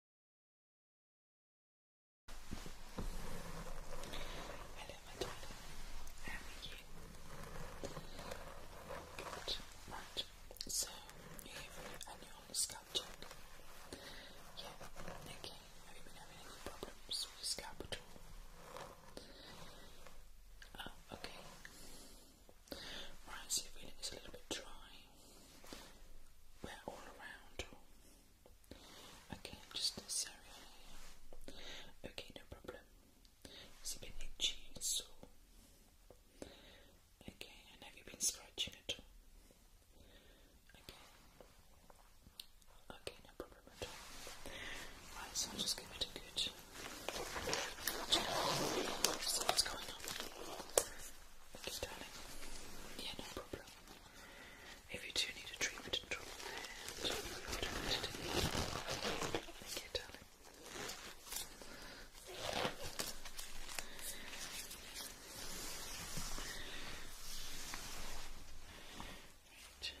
Hello, my How are you? Good. Right. So, you're here for your annual scalp check. Yeah. Okay. Have you been having any problems with your scalp at all? Oh, okay. Right. So, your feeling is a little bit dry. We're all around. Okay, just this area Okay, no problem. Has been itchy and sore? Okay, and have you been scratching at all? Okay. Okay, no problem at all. Right, so I'll just give it a good Okay, Yeah, no problem. If you do need a treatment and trouble there, I've done it Thank you,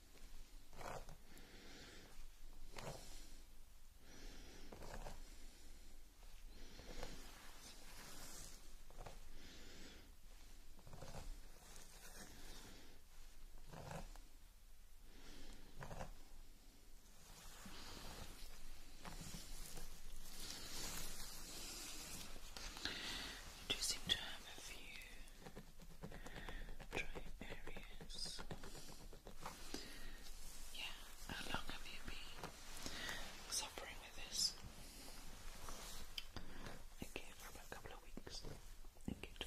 You seem to have a few dry areas. Yeah, how long have you been suffering with this? Okay, for about a couple of weeks. Thank you,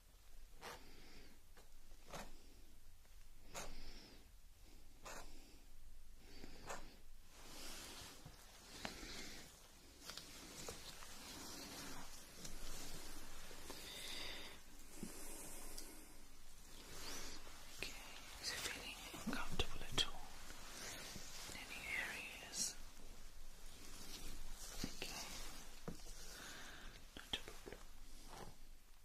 Okay, is it feeling uncomfortable at all in any areas? Okay, not a problem.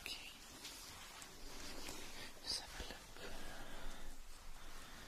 Okay. Let's have a look.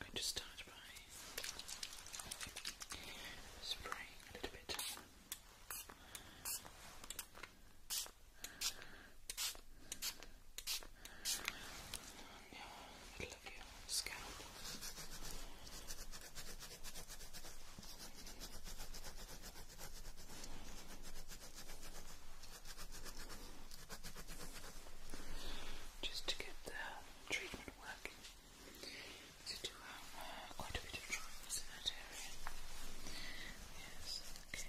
I'm going to start by spraying a little bit. Yeah, middle Just to get the treatment working. So do uh, quite a bit of dryness in that Yes, okay.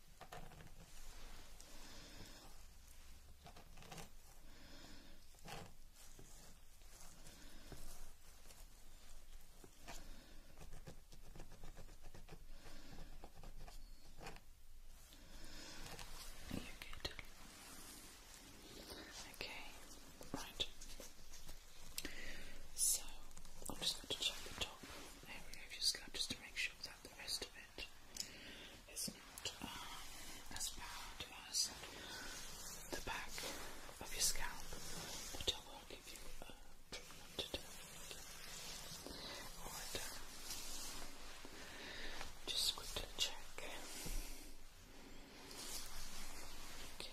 you Okay, right. So I'm just going to check the top area of your scalp just to make sure that the rest of it is not um, as bad as the back of your scalp, but I will give you a treatment today. Alright, um, just quickly check. Okay.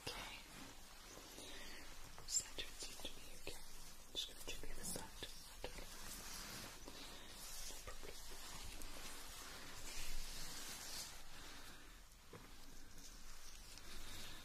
Okay. Center it seems just going to check the other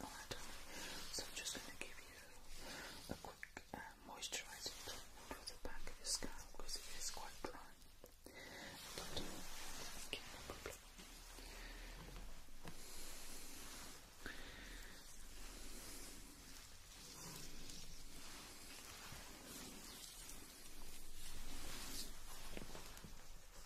all that on it. So I'm just going to give you a quick um, moisturising treatment the back of your scalp because it is quite dry. Okay.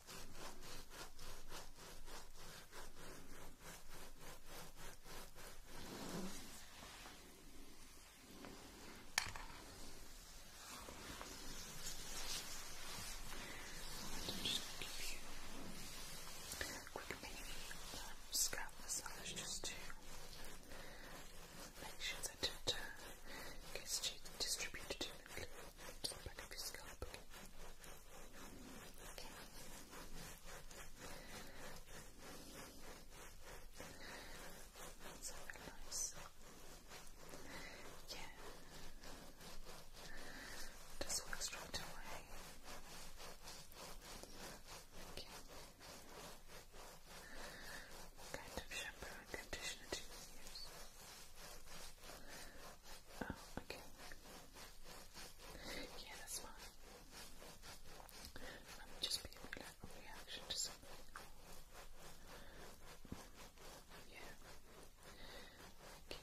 Just give you a quick mini um, scalp massage just to make sure that it uh, gets distributed evenly. Just the back of your scalp. Yeah. Just work straight away. Okay. What kind shampoo and conditioner do you use? Oh, okay. Yeah, that's fine. That would just be a reaction to Yeah. Okay.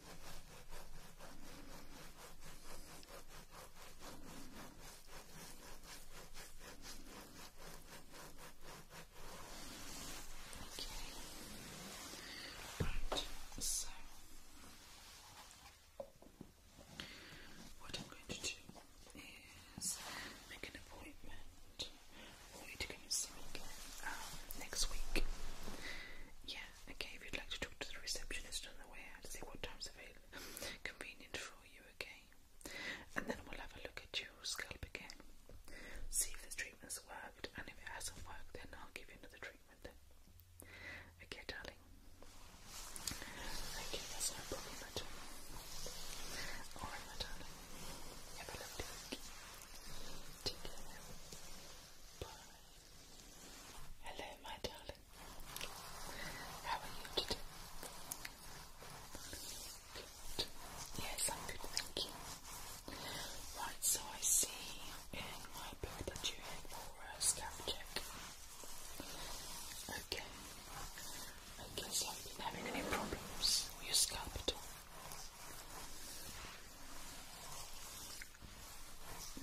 Right, so what I'm going to do is make an appointment for you to next week. Yeah, Okay, if you'd like to talk to the receptionist on the way out, see what time's available, convenient for you, okay? And then we'll have a look at your scalp again, see if the treatment's worked, and if it hasn't worked, then I'll give you another treatment Okay, darling? Okay, that's no problem at all. Alright, my darling. Have a lovely week. Take care Bye. Hello, my darling. How are you today? Good. Yes, I'm good, thank you. Right, so I see in my book that you're in for a check. Okay. Okay, so have you been having any problems with your scalp at all?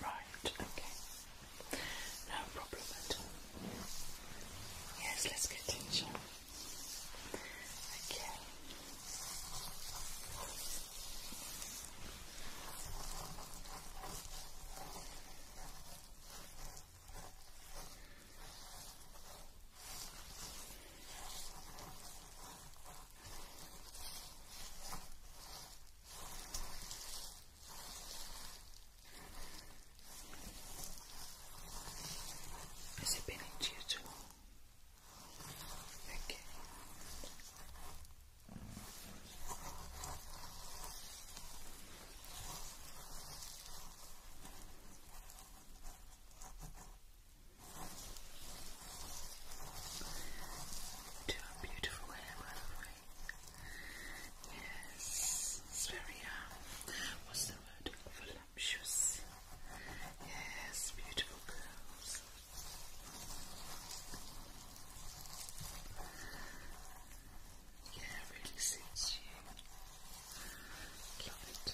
Right, okay. No problem Yes, let's get Okay. Has it been into you too Okay. To a beautiful hair, Yes, it's very, um, what's the word? Voluptuous. Yes, beautiful girls. Yeah, really suits you. Love it.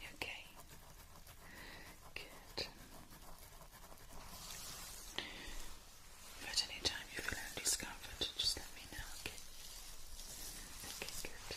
You okay? Good. If at you feel any discomfort, just let me know, okay? good.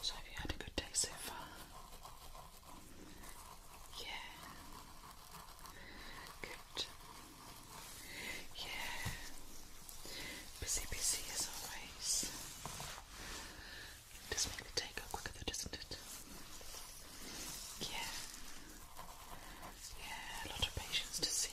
So, have you had a good day so far? Yeah. Good. Yeah. Busy, busy as always. It does make the takeout quicker doesn't it? Yeah. Yeah, a lot of patience to see.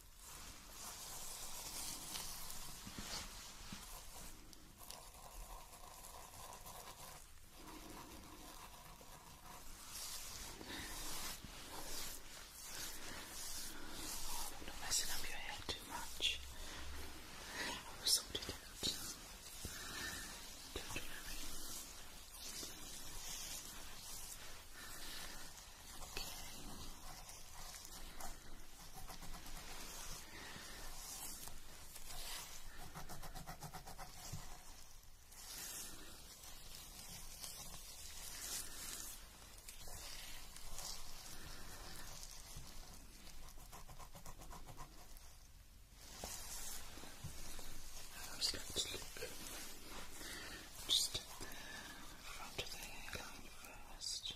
I'm not messing up your hair too much. I will sort it out. How's that look? Just at the front of the hairline first.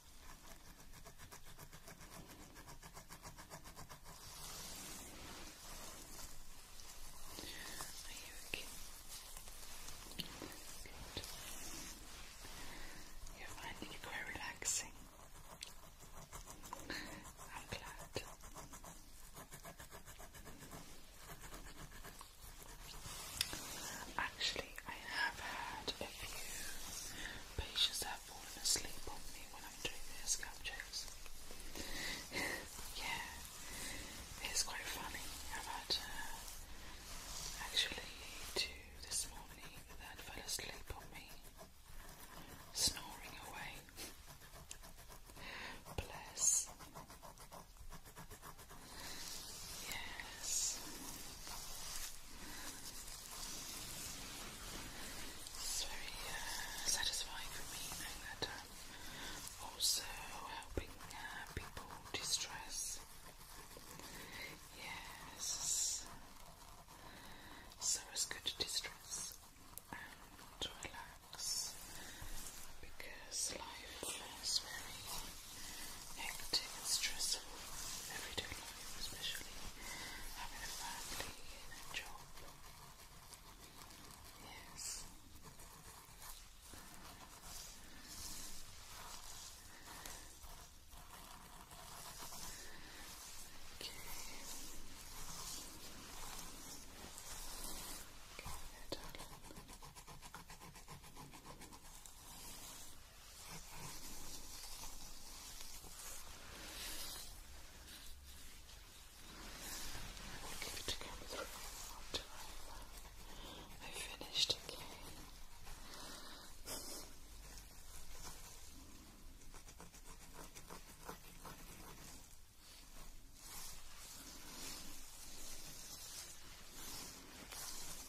Are you okay? Good. You're it quite relaxing. I'm glad. Actually, I have had a few patients that have fallen asleep on me when I'm doing their scalp checks. yeah, it's quite funny. I've had uh, actually two this morning that fell asleep on me, snoring away. Bless. Yes. It's very uh, satisfying for me knowing that I'm also helping uh, people distress. Yes. So it's good distress to relax because life is very hectic and stressful everyday life, especially having a family and a job. Yes. Okay. Okay. I will give it a go through one more time. I finished again. Okay.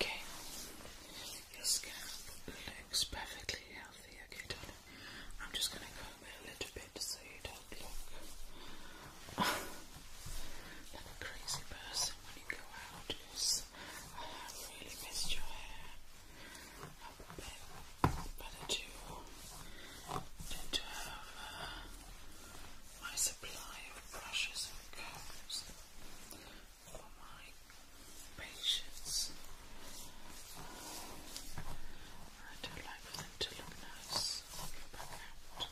Okay, your scalp looks perfectly healthy. Okay, darling, I'm just going to comb it a little bit so you don't look like a crazy person when you go out. I have really missed your hair a bit. Better to, than to have my supply of brushes and combs for my patients. I do like for them to look nice. I'll back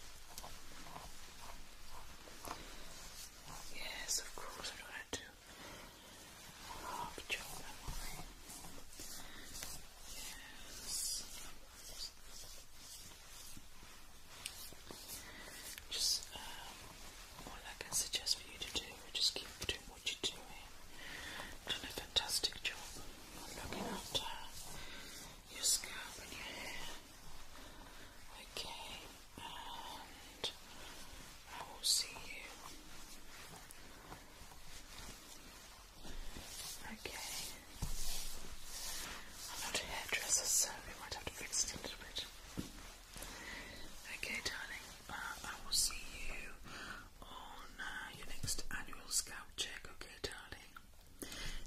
Yes, of course, I don't to half chop them away. Yes. Just, um, I can suggest for you to do is just keep doing what you're doing. Done a fantastic job of looking after your scalp and your hair. Okay. I will see you. Okay. I'm not a hairdresser, so we might have to fix it a little bit. Okay, darling, uh, I will see you on uh, your next annual scalp check, okay, darling?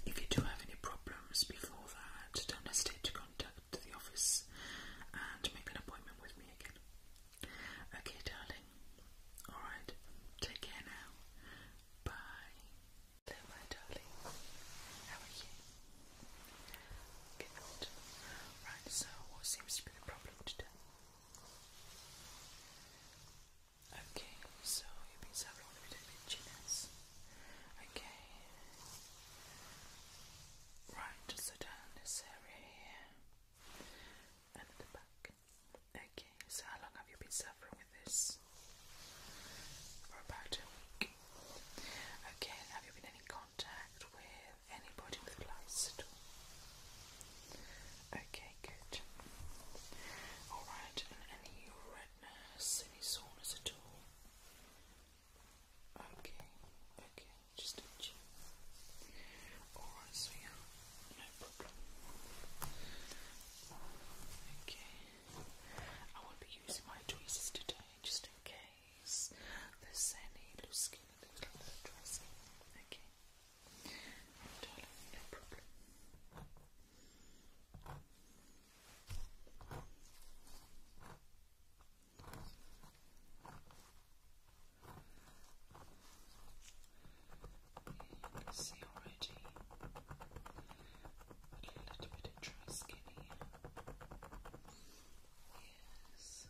If you do have any problems before that, don't hesitate to contact to the office and make an appointment with me again. Okay, darling. Alright, take care now. Bye. Hello, my darling. How are you? Good. Right, so what seems to be the problem today? Okay, so you've been suffering with a Okay. Right, so down this area here and the back. Okay, so how long have you been suffering with this? For about a week. Okay, have you been any contact with anybody with lice at all? Okay, good. Alright, and any redness, any soreness at all? Okay, okay, just a check. Alright, so yeah, no problem. Okay, I will be using my tweezers today just in case there's any loose skin in the middle of the dressing. Okay, no problem. You see already a little bit of dry skin Yes.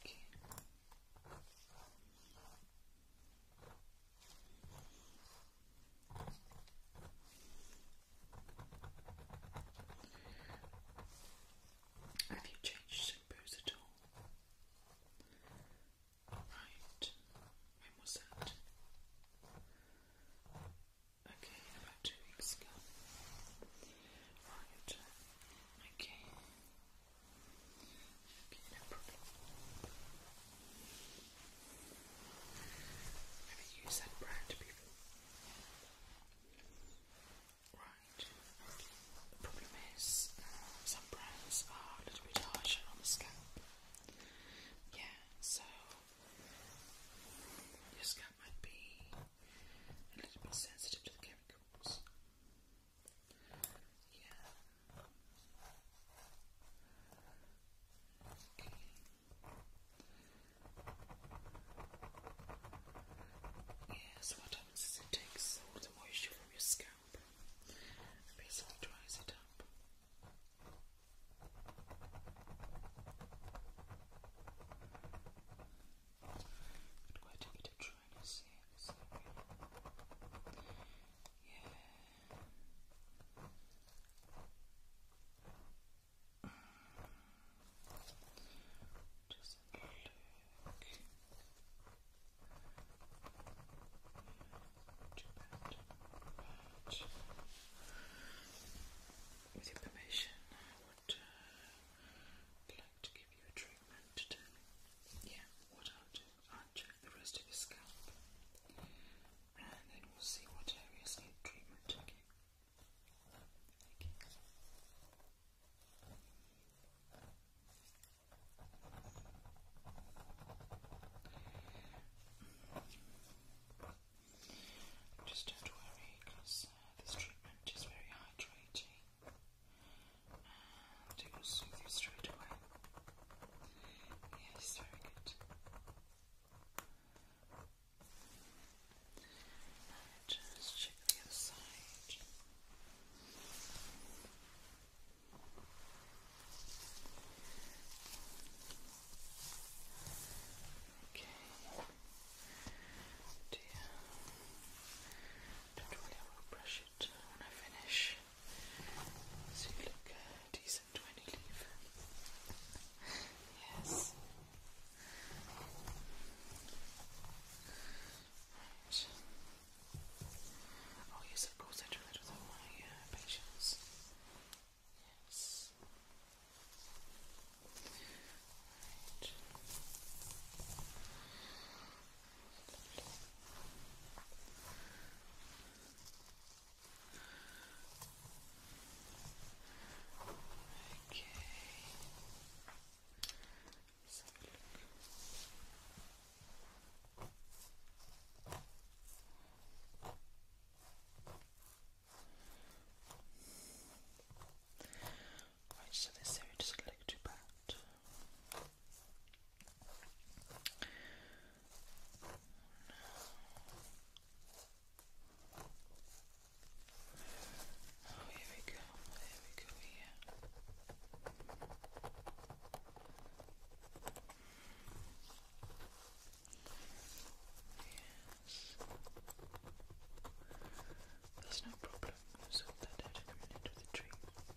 Okay. Have you changed shampoos at all? Right, when was that? Okay, about two weeks ago. Right, okay. Okay, no problem. Have you used that brand before? Right, okay. The problem is uh, some brands are a little bit harsher on the scalp. Yeah, so your scalp might be a little bit sensitive to the chemicals. Yeah. Okay. Yes, what happens is it takes all the moisture from your scalp basically dries it up. quite a bit of dryness here Yeah. Just a look. with your permission, I would uh, like to give you a treatment to Yeah, what I'll do, I'll check the rest of your scalp and then we'll see what areas need treatment. Okay. Just don't worry, because uh, this treatment is very hydrating it will soothe you straight away. Yes, very good just check the other side. Okay. Dear. Don't worry, I will brush it when I finish. So you look uh, decent when you leave. yes. Right. Oh yes, of course I do my patients. Yes. Okay. let Right, so this area doesn't look too bad. Oh, here we go, there we go, here. There's no problem, we that out in a minute the treatment.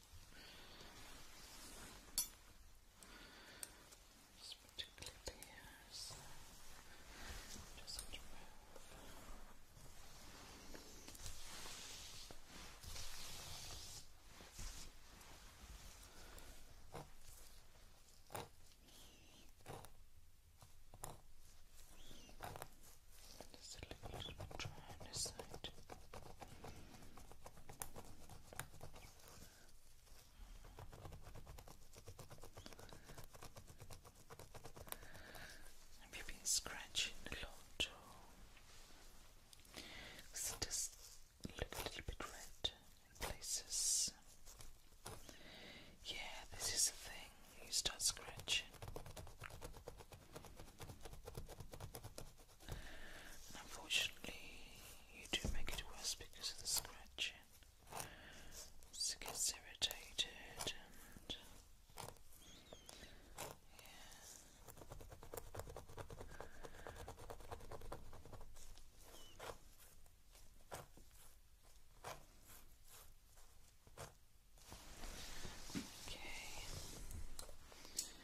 Just particularly here, just have to Just a little bit dry on side. Have you been scratching a lot? Because does look a little bit red in places. Yeah, this is the thing. You start scratching unfortunately, you do make it worse because of the scratching. So it gets irritated and. Yeah. Okay.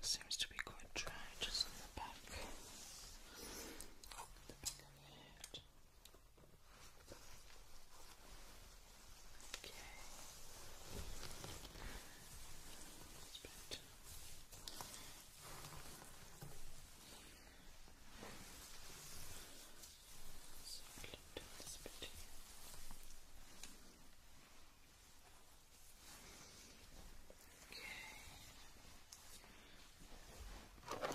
Seems to be quite dry just on the back. Oh, okay. That's better. So I'll do this bit here. Okay. Okay.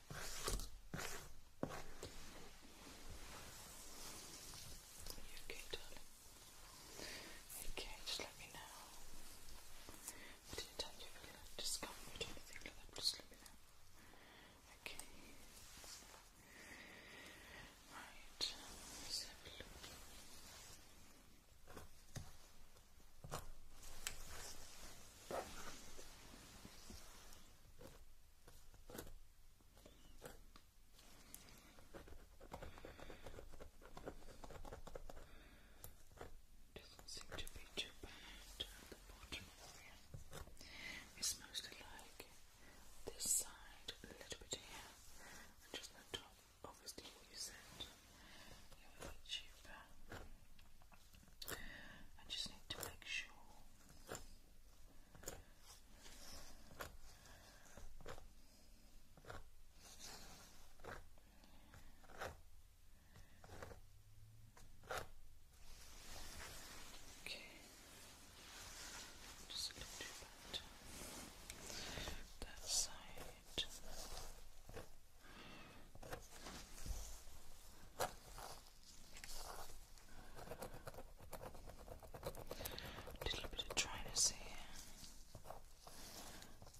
You okay, darling? Okay, just let me know. What do you tell you feel like discomfort or anything like that? Just let me know. Okay. Right, let's have a look. Doesn't seem to be too bad It's mostly like this side, a little bit here, and just the top. Obviously, you said it would be cheaper. I just need to make sure Okay, just a little bit that side. Little bit of dryness here,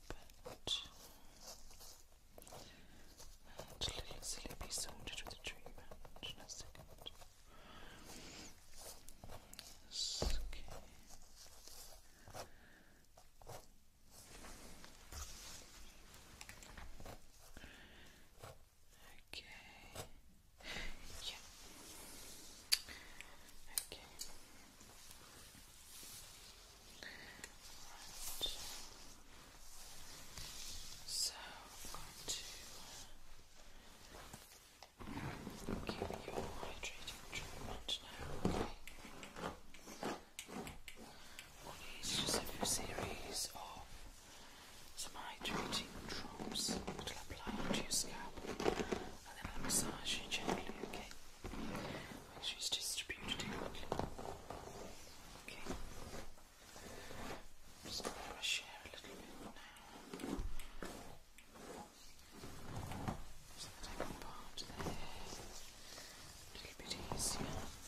but a little sleepy sorted with a treatment in a second. okay. Okay. So I'm going to uh, give you hydrating treatment now. Well, just a few series of some hydrating drops that will apply onto your scalp and then I'll massage you gently, okay? Make sure distributed evenly. Okay. just going to hair a little bit now. So that I part the a little bit easier.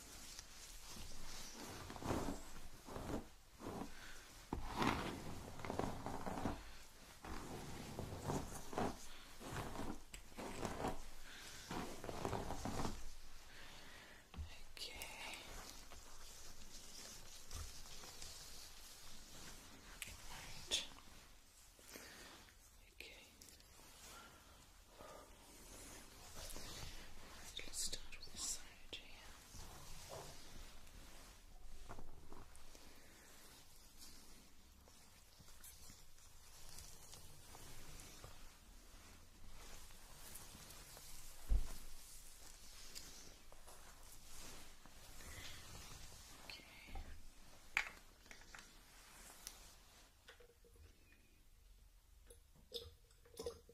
Okay. Right. Okay let's start with this side here. Okay. Okay.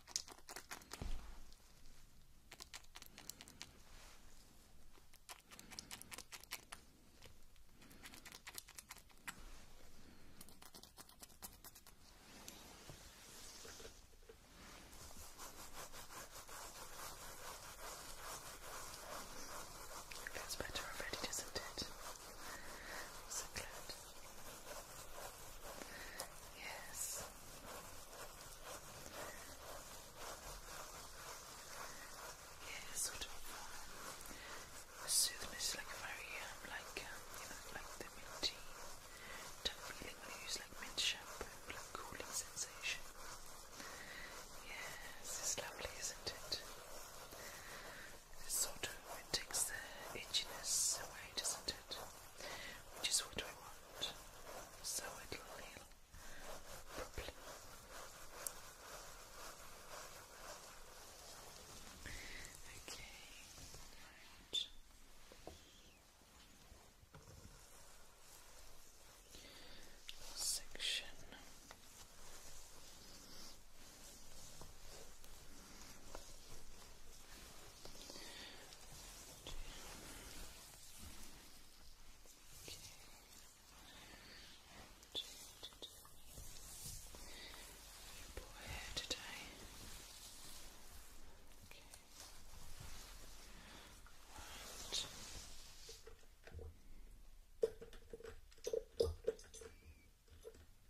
It gets better already, doesn't it? I'm so glad. Yes. Yeah, sort of um, soothness, like very um, like um, you know, like the minty type feeling when you use like mint shampoo, like cooling sensation. Yes, it's lovely, isn't it? sort of it takes the itchiness away, doesn't it, which is what I want, so it'll heal properly. Okay, Section. Poor hair today. Okay. Right. Okay.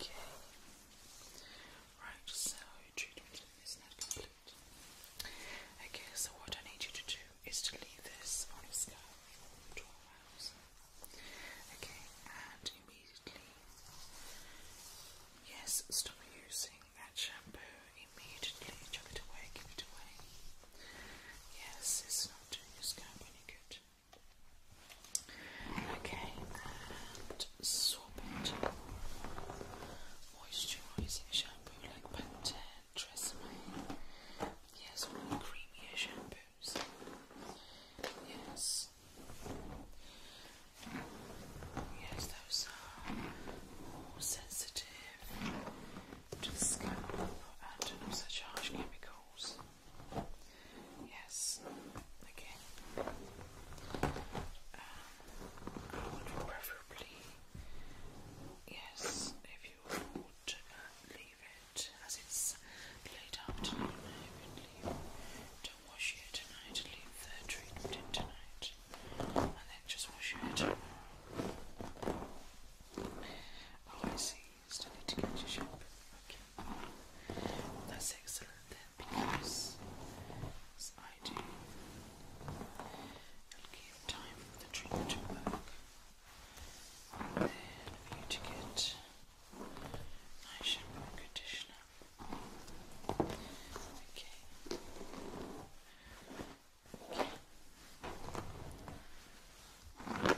Okay. Right, so treatment is not complete. Okay, so what I need you to do is to leave this on a scale from 12 hours. Okay, and immediately, yes, stop using that shampoo. Immediately, chuck it away, give it away. Yes, it's not doing your scalp any good. Okay, and swap it. Moisturizing shampoo like Pantene, Yes, creamier shampoos. Yes. Yes, those are more sensitive to the scalp and not such chemicals. Yes, again. preferably Yes, if you would uh, leave it as it's late afternoon, Don't wash your hair tonight, leave the treatment in tonight, and then just wash your Oh, I see, still need to get your shampoo. Okay, that's excellent then because I hiding. give time for the treatment to work. then for you to get nice shampoo conditioner. Okay. Okay.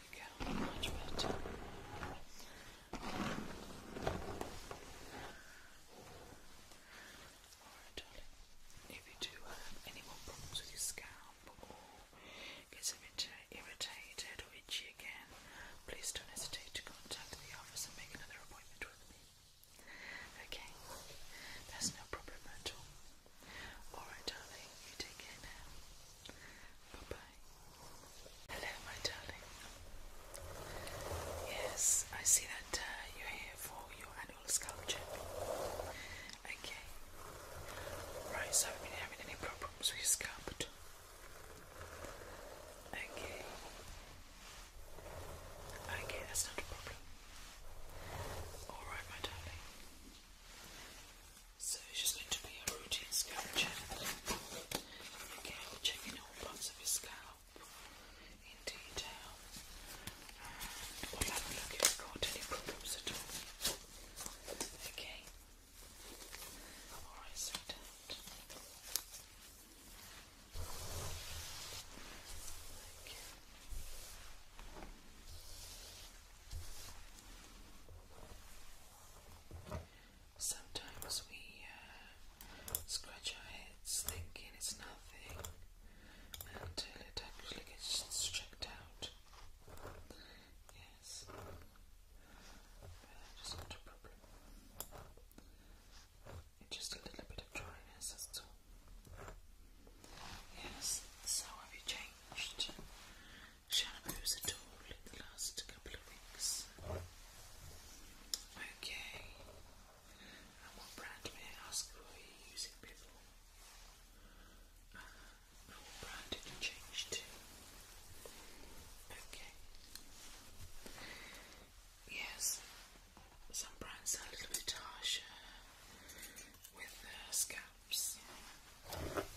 we go, much better. Alright, darling. If you do have any more problems with your scalp or gets irritated or itchy again, please don't hesitate to contact the office and make another appointment with me. Okay, that's no problem at all. Alright, darling, you take care now. Bye bye. Hello, my darling. Yes, I see that uh, you're here for your annual sculpture. Okay. Right, so have you been having any problems with your scalp? Okay. Okay, that's not a problem. Alright, my darling. So it's just going to be a routine scalp Okay, we all parts of your scalp in detail we have a look if have got any problems at all. Okay. Alright, sweetheart. Okay. Sometimes we uh, scratch our heads thinking it's nothing until it actually gets checked out. Yes, but it's not a problem. It's just a little bit of dryness, that's all. Yes, so have you changed shampoos at all in the last couple of weeks? Okay, and what brand may I ask were you using before? and uh, what brand did you change to? Okay. Yes, some brands are a little bit harsher with uh, scalps.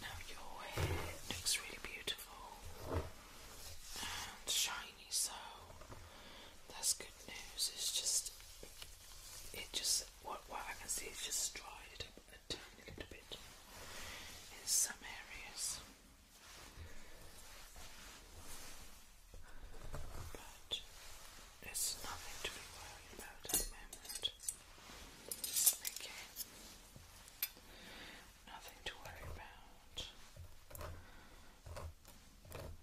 Now your hair looks really beautiful and shiny tiny, so that's good news. It's just, it just, what, what I can see is just dried a tiny little bit in some areas. But it's nothing to be worried about at the moment. Okay. Nothing to worry about.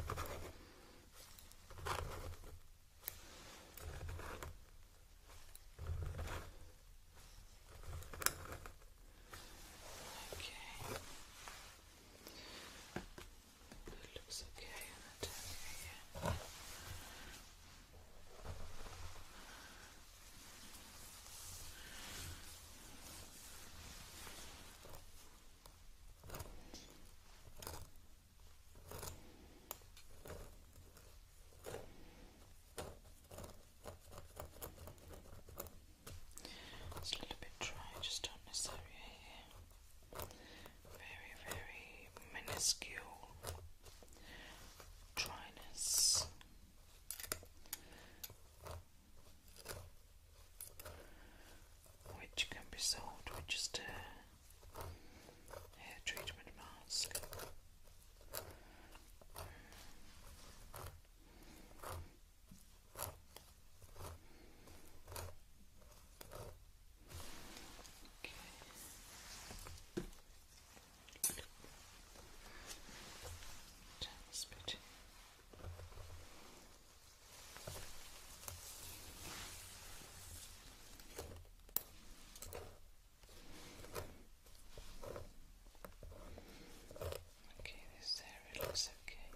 Okay. It looks okay in that area. Okay. It's a little bit dry, just on this area here. Very, very minuscule dryness which can be sold with just a hair treatment mask. Okay. Down this bit. Okay, this area looks okay.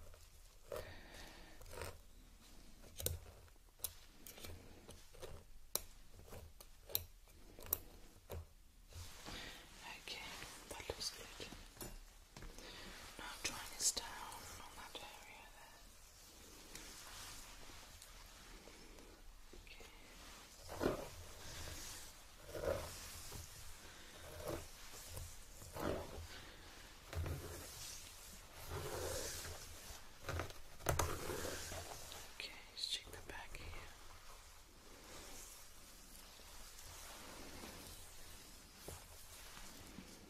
Okay, that looks good. Now drawing this down on that area there. Okay. Okay, let's check the back here. Okay.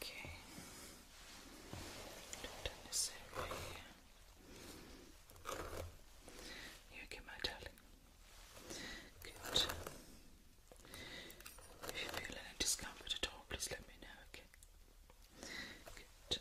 Okay. Don't necessarily. You okay, my darling? Good. If you feel any discomfort at all, please let me know, okay? Good.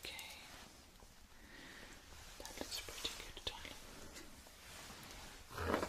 Okay. That looks pretty good, darling.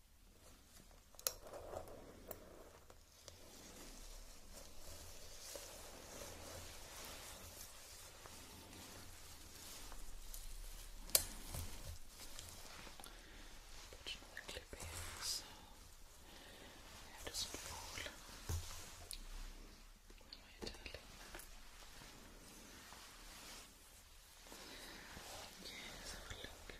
Put another clip here so it doesn't fall. Where darling? Okay, have a look.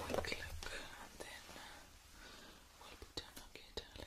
One quick look and then we'll be done, okay darling?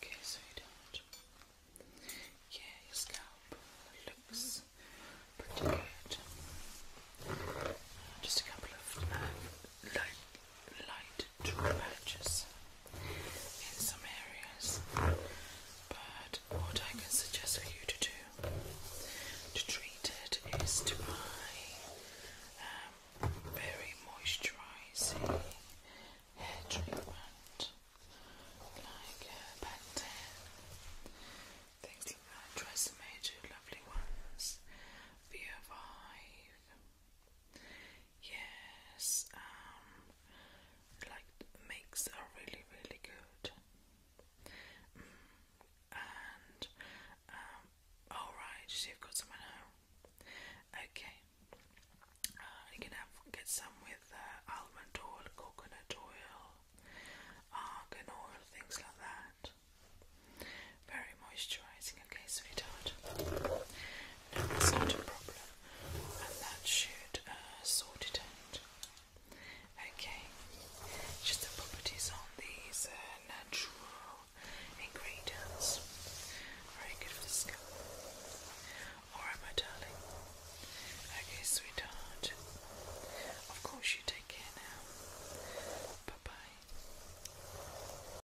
Okay, so you Yeah, your scalp looks pretty good. Just a couple of uh, light, light to purchase in some areas. But what I can suggest for you to do to treat it is to buy um, very moisturising hair treatment like uh, Pantene, things like that. Try some major lovely ones. Via Vive. Yes, um, like makes are really really good. Mm, and um, all right, so you've got some at home. Okay, uh, you can have get some with uh, almond oil, coconut oil, argan oil, things like that very moisturising, okay, sweetheart? No, that's not a problem, and that should uh, sort it out. Okay, just the properties on these uh, natural ingredients. Very good for the scalp. Alright, my darling. Okay, sweetheart. Of course, you take care now. Bye bye.